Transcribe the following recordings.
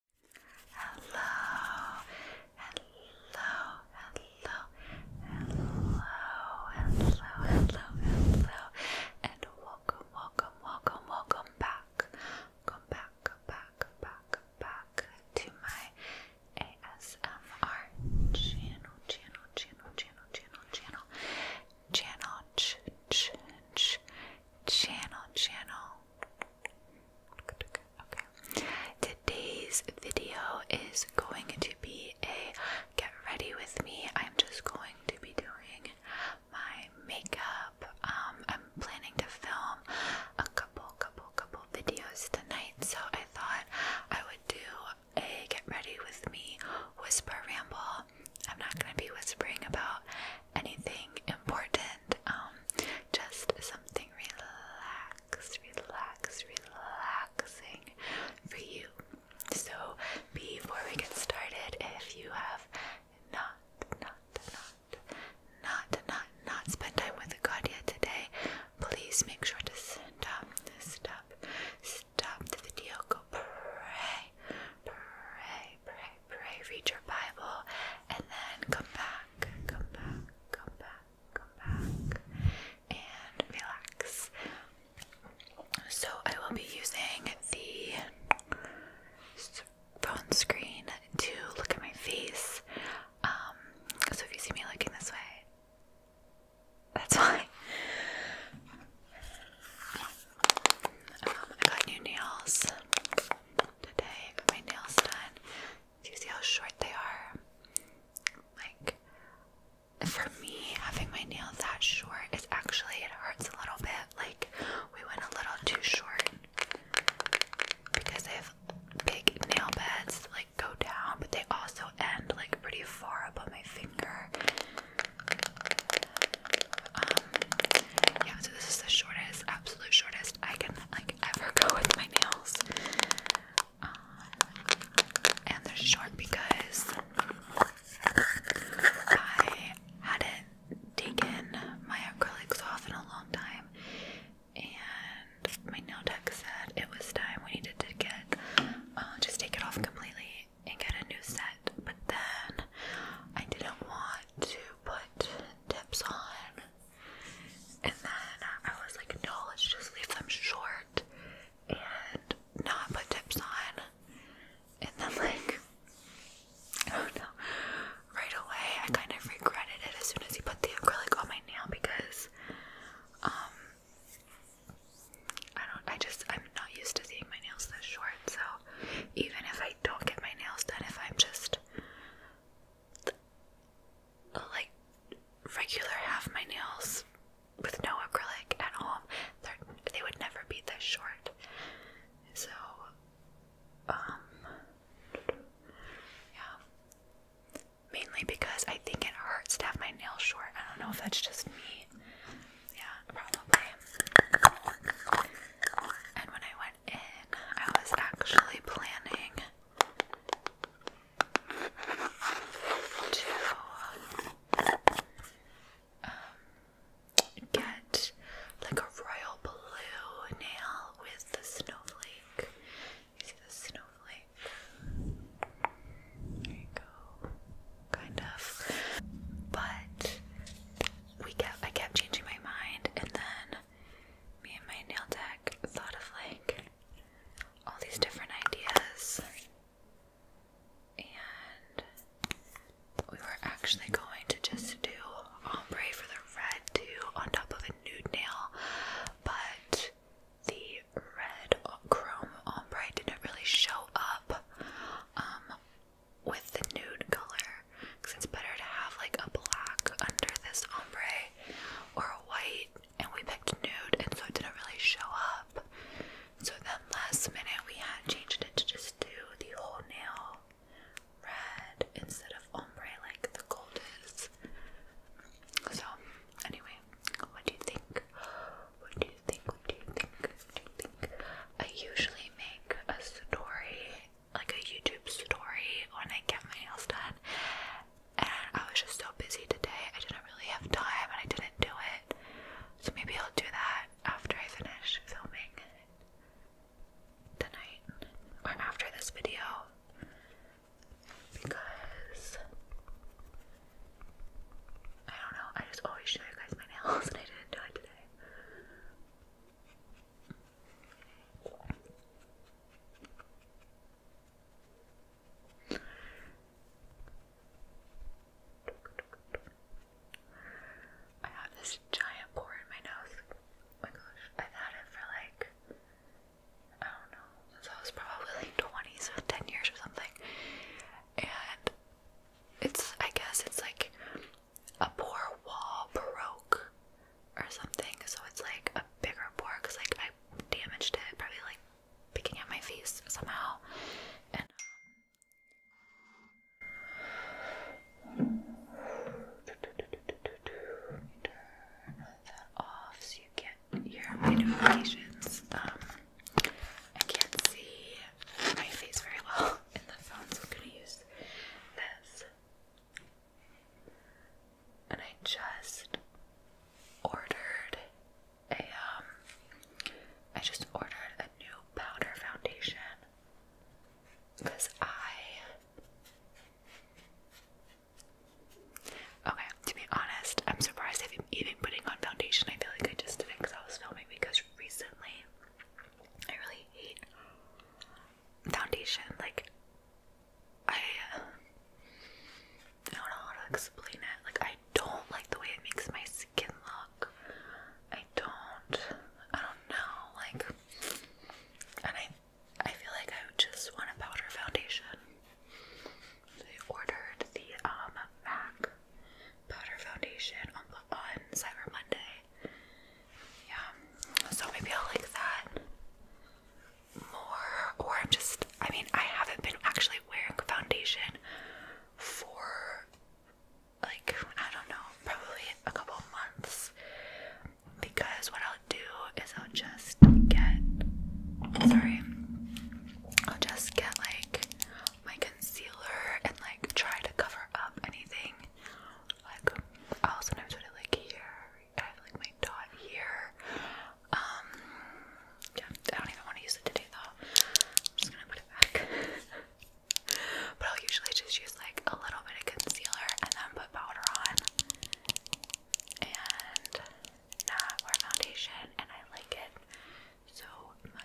Hello, hello, hello, hello, hello, hello, hello, and welcome, welcome, welcome, welcome back, welcome back, back, back, back to my ASMR channel, channel, channel, channel, channel, channel, channel, ch ch ch channel, channel. Today's video is going to be a get ready with me. I'm just going to be doing my makeup. Um, I'm planning to film a couple, couple, couple videos tonight, so I thought I would do a get ready with me whisper ramble. I'm not going to be whispering about anything important, um, just something relaxed, relaxed, relaxing for you. So, before we get started, if you have not, not, not, not, not, not spent time with God yet today, please make sure to stop, stop, stop the video. Go pray, pray, pray, pray, read your Bible, and then come back, come back, come back, come back, and relax. So, I will be using the phone screen to look at my face. Um, so, if you see me looking this way, that's why. Um, I got new nails today. I got my nails done. Do you see how short they are? Like, for me, having my nails that short is actually, it hurts a little bit. Like, we went a little too short because they have big nail beds that, like, go down, but they also end, like, pretty far above my finger. Um, yeah, so this is the shortest, absolute shortest I can like ever go with my nails. Um, and they're short because I hadn't taken my acrylics off in a long time, and my nail tech said it was time we needed to get uh, just take it off completely and get a new set. But then I didn't want to put tips on. And then I was like, no, let's just leave them short and not put tips on. And then, like, oh no, right away I kind of regretted it as soon as he put the acrylic on my nail because, um, I don't, I just, I'm not used to seeing my nails this short, so even if I don't get my nails done, if I'm just like regular have my nails with no acrylic at home, they would never be this short. So, um, yeah. Mainly because I think it hurts to have my nails short. I don't know if that's just me. Yeah, probably. And when I that I was actually planning to um, get like a royal blue nail with the snowflake. You see the snowflake? There you go. Kind of. But we kept I kept changing my mind and then me and my nail tech thought of like all these different ideas and we were actually going to just do ombre for the red too on top of a nude nail but the red chrome ombre didn't really show up um with the nude color because it's better to have like a black under this ombre or a white and we picked nude and so it didn't really show up so then last minute we had changed it to just do the whole nail red instead of ombre like the gold is so anyway what do you think what do you think what do you think what do you think I usually make a story, like a YouTube story, when I get my nails done. And I was just so busy today, I didn't really have time and I didn't do it. So maybe I'll do that after I finish filming tonight or after this video because I don't know, I just always show you guys my nails and I didn't do it today. I have this giant pore in my nose. Oh my gosh, I've had it for like, I don't know, since I was probably like 20, so 10 years or something. And it's, I guess, it's like a poor wall broke or something, so it's like a bigger bore because like I damaged it, probably like picking at my face somehow. turn um, that off so you get your notifications. Um, I can't see my face very well in the phones. I'm gonna use this. And I just ordered a um I just ordered a new powder foundation because I okay to be honest I'm surprised I've even putting on foundation I feel like I just did it because I was filming because recently I really hate foundation. Like, I, I don't know how to explain it. Like, I don't like the way it makes my skin look. I don't. I don't know. Like, and I, I feel like I just want a powder foundation. So I ordered the um MAC powder foundation on, Cyber Monday. Yeah, so maybe I'll like that more. Or I'm just, I mean, I haven't been actually wearing foundation for like, I don't know, probably a couple months. Because what I'll do is I'll just get, sorry, I'll just get like my concealer and like try to cover up anything. Like I'll sometimes put it like here. I uh, have like my dot here. Um, yeah, I don't even want to use it today though. I'm just gonna put it back. but I'll usually just use like a little bit of concealer and then put powder on. And not foundation and I like it so much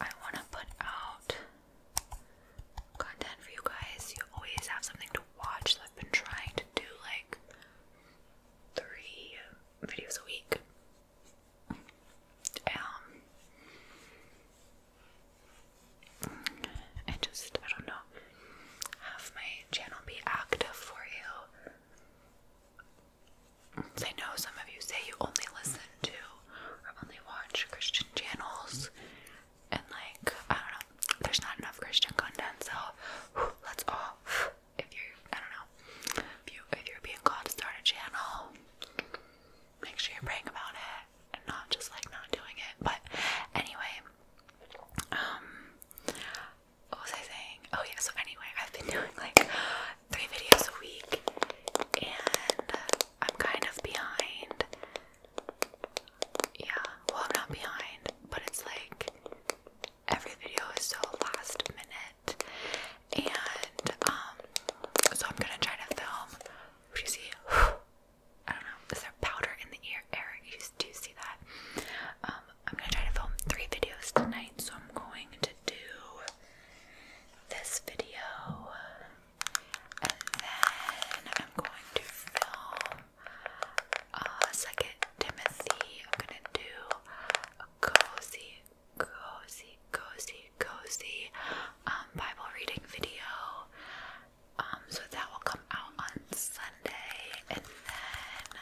I want to put out content for you guys. You always have something to watch. I've been trying to do like three videos a week. Um, and just I don't know, have my channel be active for you. I know some of you say you only listen to or only watch Christian channels, and like, I don't know, there's not enough Christian content, so whew, let's all, if you're, I don't know, if, you, if you're being called to start a channel, make sure you're praying about it and not just like not doing it. But anyway, um, what was I saying? Oh, yeah, so anyway, I've been doing like three videos a week, and uh, I'm kind of behind. Yeah, well, I'm not behind, but it's like every video is so last minute, and um, so I'm gonna try to film. Do you see? I don't know. Is there powder in the ear, Eric? You, do see that? Um, I'm gonna try to film three videos tonight, so I'm going to do this video, and then I'm going to film uh, Second Timothy. I'm gonna do a cozy, cozy, cozy, cozy um, Bible reading video. Um, so that will come out on Sunday, and then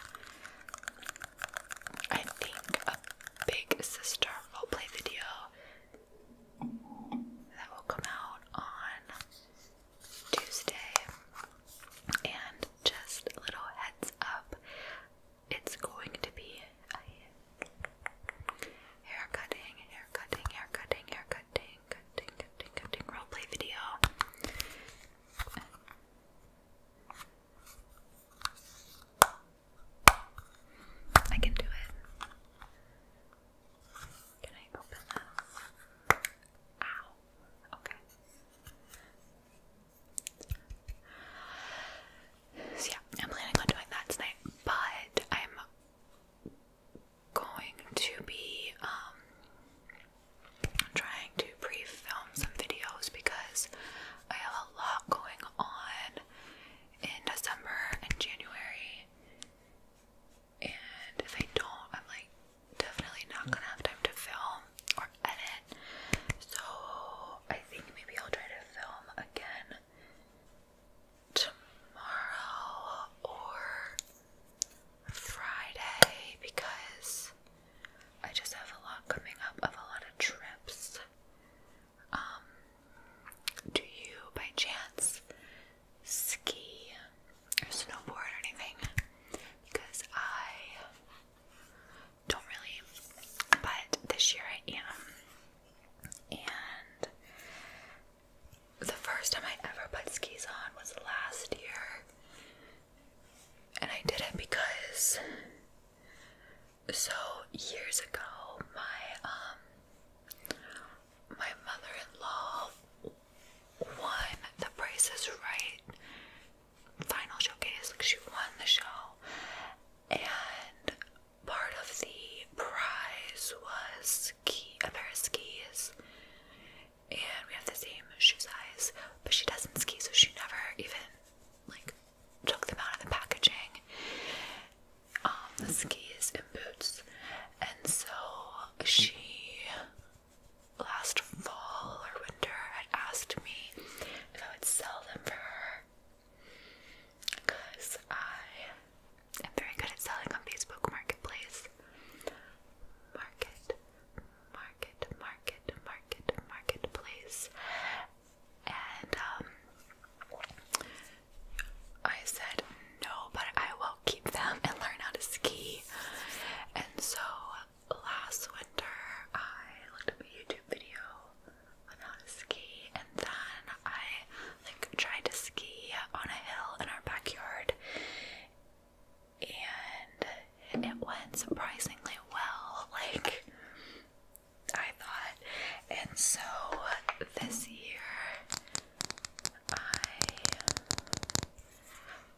I think a big sister roleplay video that will come out on Tuesday. And just little heads up, it's going to be a hair cutting, hair cutting, hair cutting, hair cutting, cutting, cutting, cutting roleplay video. I can do it. Can I open that? Ow. Okay. yeah, I'm planning on doing that tonight, but I'm going to be um trying to pre-film some videos because I have a lot going on in December and January, and if I don't, I'm like definitely not gonna have time to film or edit. So I think maybe I'll try to film again tomorrow or Friday because I just have a lot coming up of a lot of trips. Um, do you by chance ski or snowboard or anything? Because I don't really, but this year I am. And the first time I ever put skis on was last year. And I did it because so years ago my um my mother-in-law won the Price is Right final showcase like she won the show and part of the prize was ski a pair of skis and we have the same shoe size but she doesn't ski so she never even like took them out of the packaging. Um, the skis and boots. And so she last fall or winter had asked me if I would sell them for her. Because I am very good at selling on Facebook Marketplace. Market, market, market, market, marketplace and um, I said no, but I will keep them and learn how to ski. And so last winter, I looked up a YouTube video on how to ski, and then I like tried to ski on a hill in our backyard, and it went surprisingly well, like I thought. And so this year I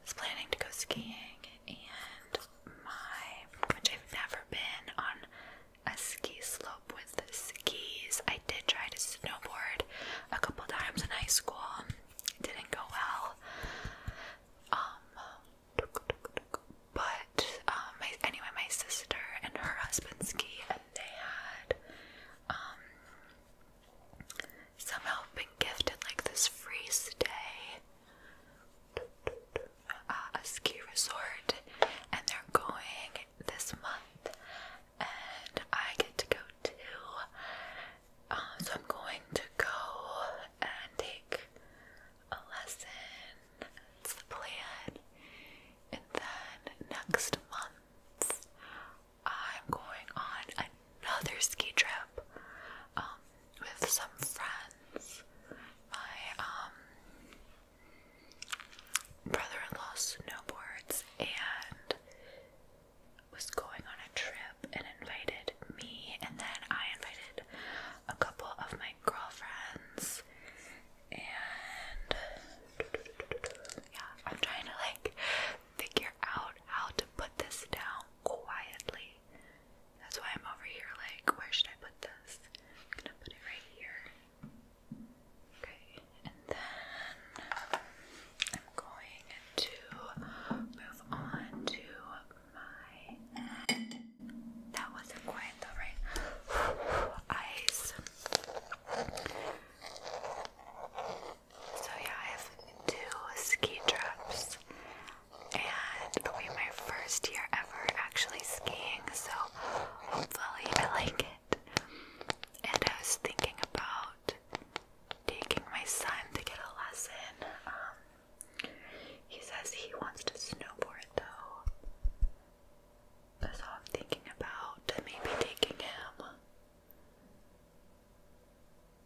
was planning to go skiing and my which I've never been on a ski slope with skis. I did try to snowboard a couple times in high school. It didn't go well. Um but um, my, anyway, my sister and her husband ski, and they had um, somehow been gifted like this free stay uh, a ski resort, and they're going this month, and I get to go too. Um, so I'm going to go and take a lesson. That's the plan. And then next month, I'm going on another ski trip um, with some friends. My um, brother-in-law snowboards and was going on a trip and invited me, and then I invited a couple of my girlfriends, and yeah, I'm trying to like figure out how to put this down quietly. That's why I'm over here, like, where should I put this? I'm gonna put it right here. Okay, and then I'm going to move on to my that wasn't quiet though, right? Eyes. So yeah, I have two ski trips, and it'll be my first year ever actually skiing. So hopefully I like it. And I was thinking about taking my son to get a lesson. Um, he says he wants to snowboard though. So I'm thinking about maybe taking him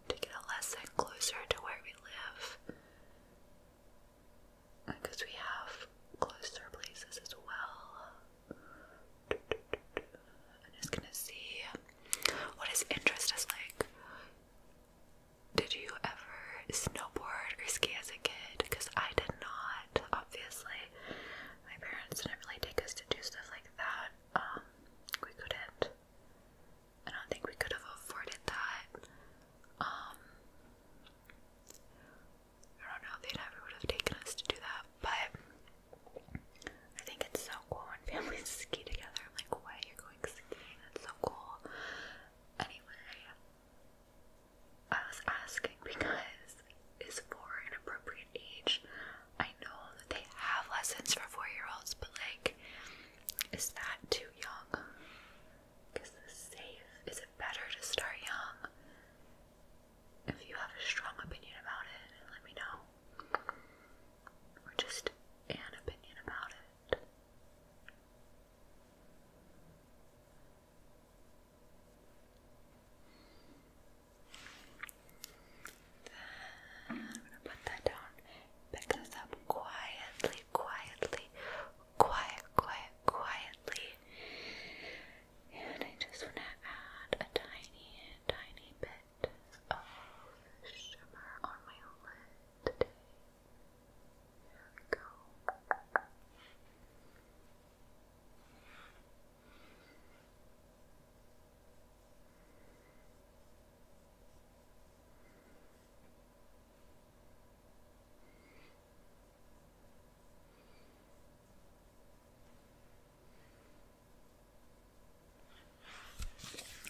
to get a lesson closer to where we live. Because we have closer places as well. i just gonna see what his interest is like. Did you ever snowboard or ski as a kid? Because I did not, obviously. My parents didn't really take us to do stuff like that. Um, we couldn't. I don't think we could have afforded that. Um, I don't know, they never would have taken us to do that, but I think it's so cool when families ski together. like, what? You're going skiing? That's so cool. Anyway, I was asking because is four an appropriate age? I know that they have lessons for four year olds, but like, is that too young? Is this safe? Is it better to start young? If you have a strong opinion about it, let me know. Or just an opinion about it. I'm gonna put that down. Pick this up quietly, quietly, quiet, quiet, quietly. And I just want to add a tiny, tiny bit of shimmer on my lid today. There we go.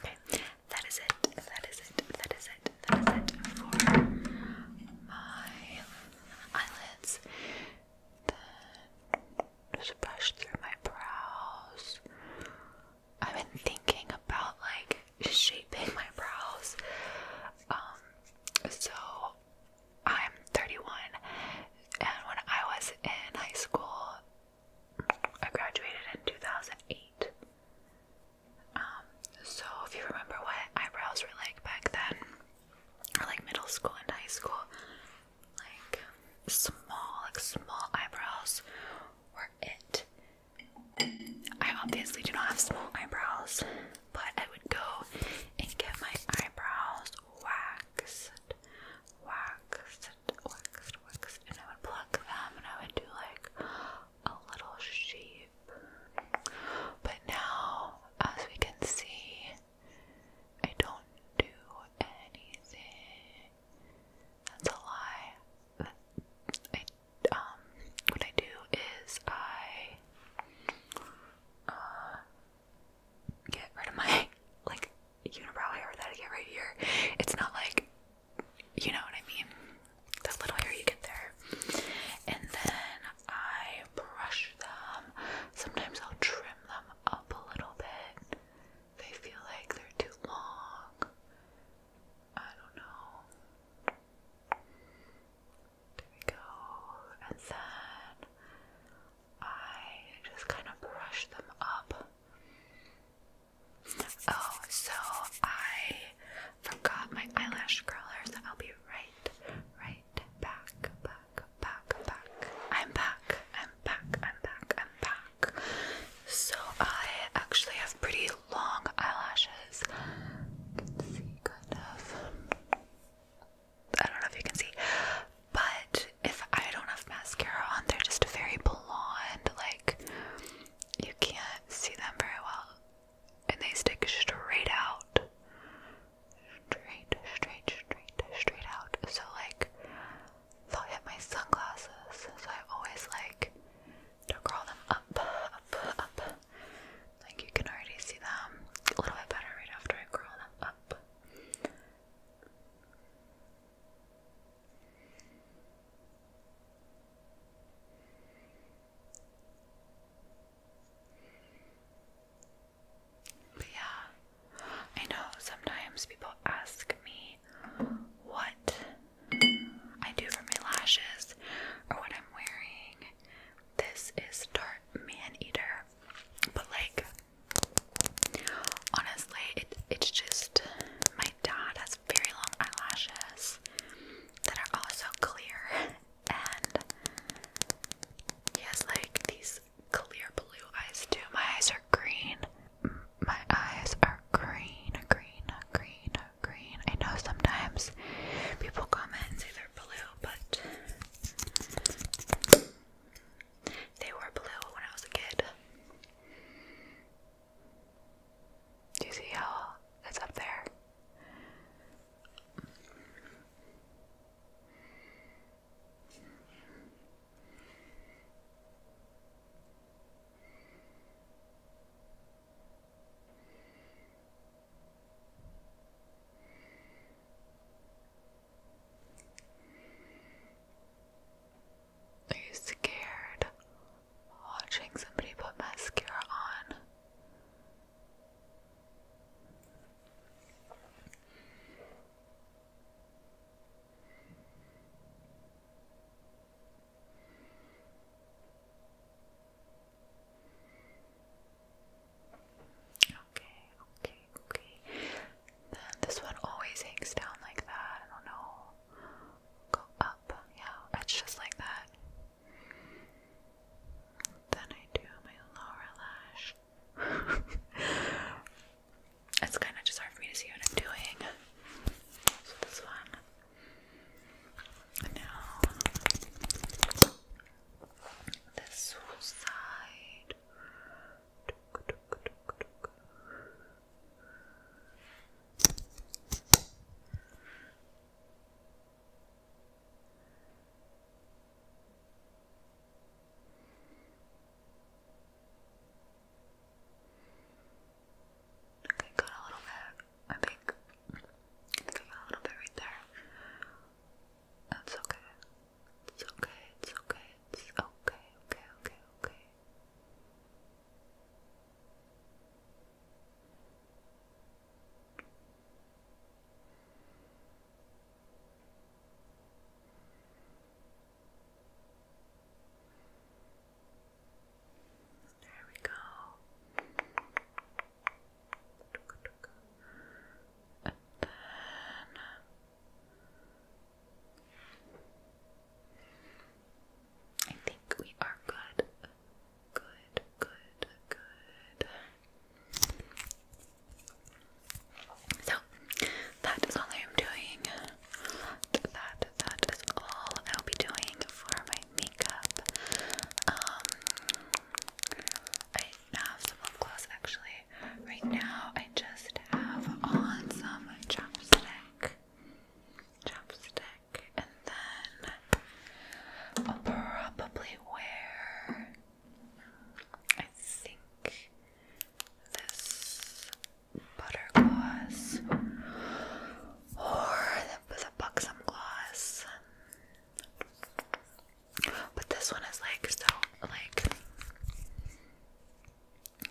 Okay, that is it. That is it. That is it. That is it for my eyelids. Then just brush through my brows. I've been thinking about like shaping my brows. Um, so I'm 31, and when I was in high school, I graduated in 2008. Um, so if you remember what eyebrows were like back then, or like middle school and high school, like small, like small eyebrows were it. I obviously do not have small eyebrows, but I would go and get my eyebrows waxed, waxed, waxed, waxed, and I would pluck them and I would do like a little sheep. But now, as we can see, I don't do anything. That's a lie. I, um, what I do is I uh, get rid of my like unibrow hair that I get right here. It's not like you know what I mean? The little hair you get there. And then I brush them. Sometimes I'll trim them up a little bit. They feel like they're too long. I don't know. There we go. And then I just kind of brush them up. Oh, so I forgot my eyelash curlers. I'll be right, right back, back, back, back. I'm back, I'm back, I'm back, I'm back. So I actually have pretty long eyelashes. can see kind of. I don't know if you can see, but if I don't have mascara on, they're just very blonde, like you can't see them very well. And they stick straight out. Straight, straight, straight, straight out. So like they'll have my sunglasses. So I always like to curl them up, up, up. Like you can already see them a little bit better right after I curl them up. But yeah, I know sometimes people ask me what I do for my lashes or what I'm wearing. This is Dark Man Eater, but like Honestly, it, it's just my dad has very long eyelashes that are also clear, and he has like these clear blue eyes too. My eyes are green. My eyes are green, green, green, green. I know sometimes people comment and say they're blue, but they were blue when I was a kid. Do you see how it's up there? Are you scared watching somebody put mascara on? Okay, okay, okay. Then this one always hangs down like that. I don't know. Go up. Yeah, it's just like that. Then I do my lower lash. it's kind of just hard for me to see what I'm doing. So this one. Now, this side. Okay, got a little bit, I think. I think I got a little bit right there. That's okay. It's okay, it's okay, it's okay, okay, okay, okay. There we go. And then I think we are good. Good, good, good. So, that is all I am doing. That, that, that is all I'll be doing for my makeup. Um, I have some lip actually right now I just have on some chapstick. Chapstick, and then I'll probably wear, I think, this butter gloss or the, the buxom gloss. But this one is like so, like,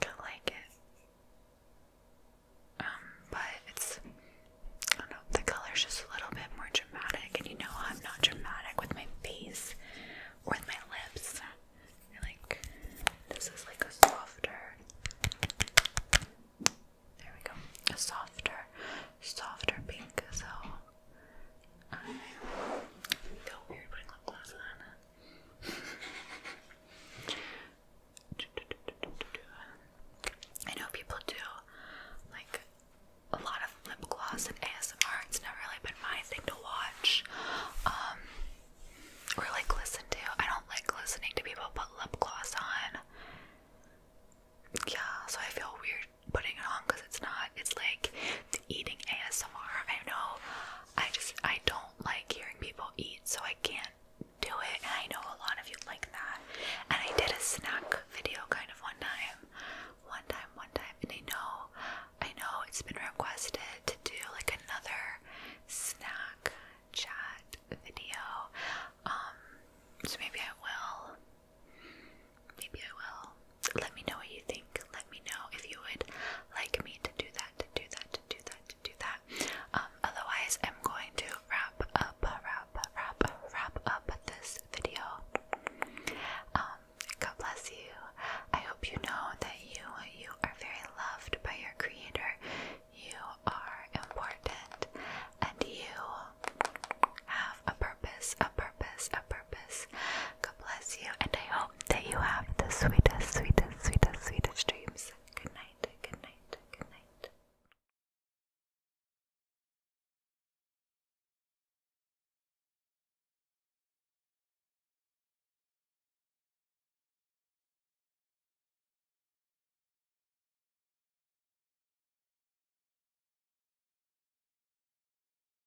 I like it. Um, but it's I don't know, the color's just a little bit more dramatic, and you know I'm not dramatic with my face or with my lips. like this is like a softer there we go. A softer, softer pink, so I feel weird putting lip gloss on. I know people do like a lot of lip gloss and ASMR. It's never really been my thing to watch um, or like listen to. I don't like listening to people put lip gloss on. Yeah, so I feel weird putting it on because it's not. It's like eating ASMR. I know. I just I don't like hearing people eat, so I can't do it. And I know a lot of you like that. And I did a snack video kind of one time, one time, one time. And I know, I know it's been requested to do like another snack chat video. Um, so maybe I will. Maybe I will let me know what you think. Let me know if you would like me to do that, to do that, do that, do that. Um, otherwise, I'm going to wrap up, wrap, wrap, wrap up this video. Um, God bless you. I hope you know that you you are very loved by your creator. You are important, and you have a purpose, a purpose, a purpose. God bless you, and I hope hope that you have the sweetest, sweetest, sweetest, sweetest dreams. Good night, good night, good night.